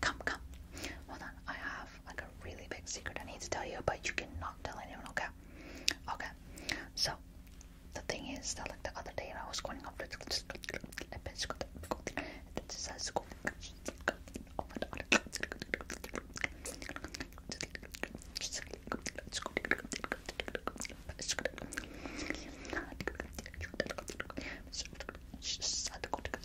Come, come. Hold on. I have a really big secret I need to tell you, but you cannot tell anyone, okay? Okay. So, the thing is that like the other day I was going up to Oh my god.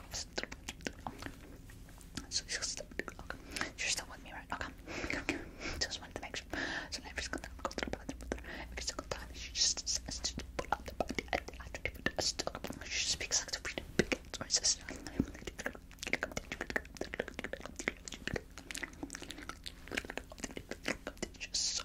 So you're still, okay. you're still with me, right? Okay. Just wanted to make sure. So now every single time I go through the every single time she just pull out the body and I do it still she speaks like the freedom big or sister. Just so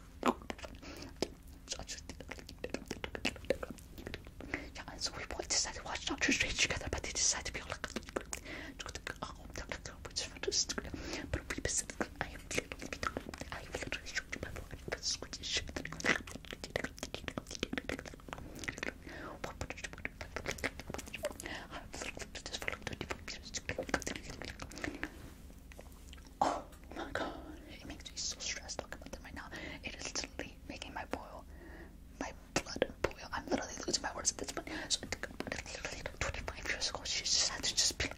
Yeah, and so we both decided to watch Doctor Strange together, but they decided to be all like, oh, which is but we basically, I am literally, I am literally showing my body, but squishy I've literally just followed the different pieces. Oh my god, it makes me so stressed talking about them right now. It is literally making my boil, my blood boil. I'm literally losing my words at this point. So, literally, 25 years ago, she just had to just be like,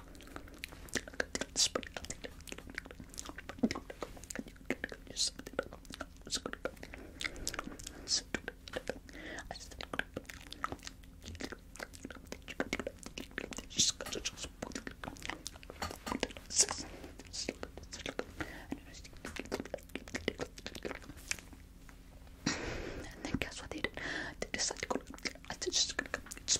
I then guess what they did? They decided to go. I just gonna come.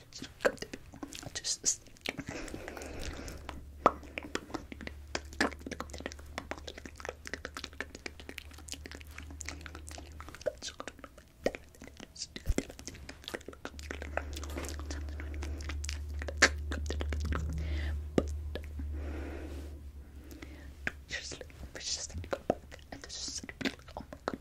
Just but just like, just like go back and just oh my god,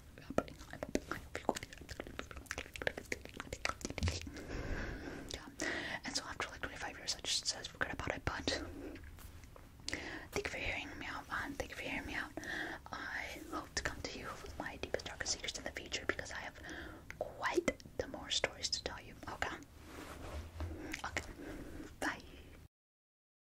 Yeah. And so after like 25 years, I just says forget about it. But thank you for hearing me out, man. Thank you for hearing me out. I hope to come to you with my deepest, darkest secrets in the future because I have quite the more stories to tell you. Okay. Okay. Bye.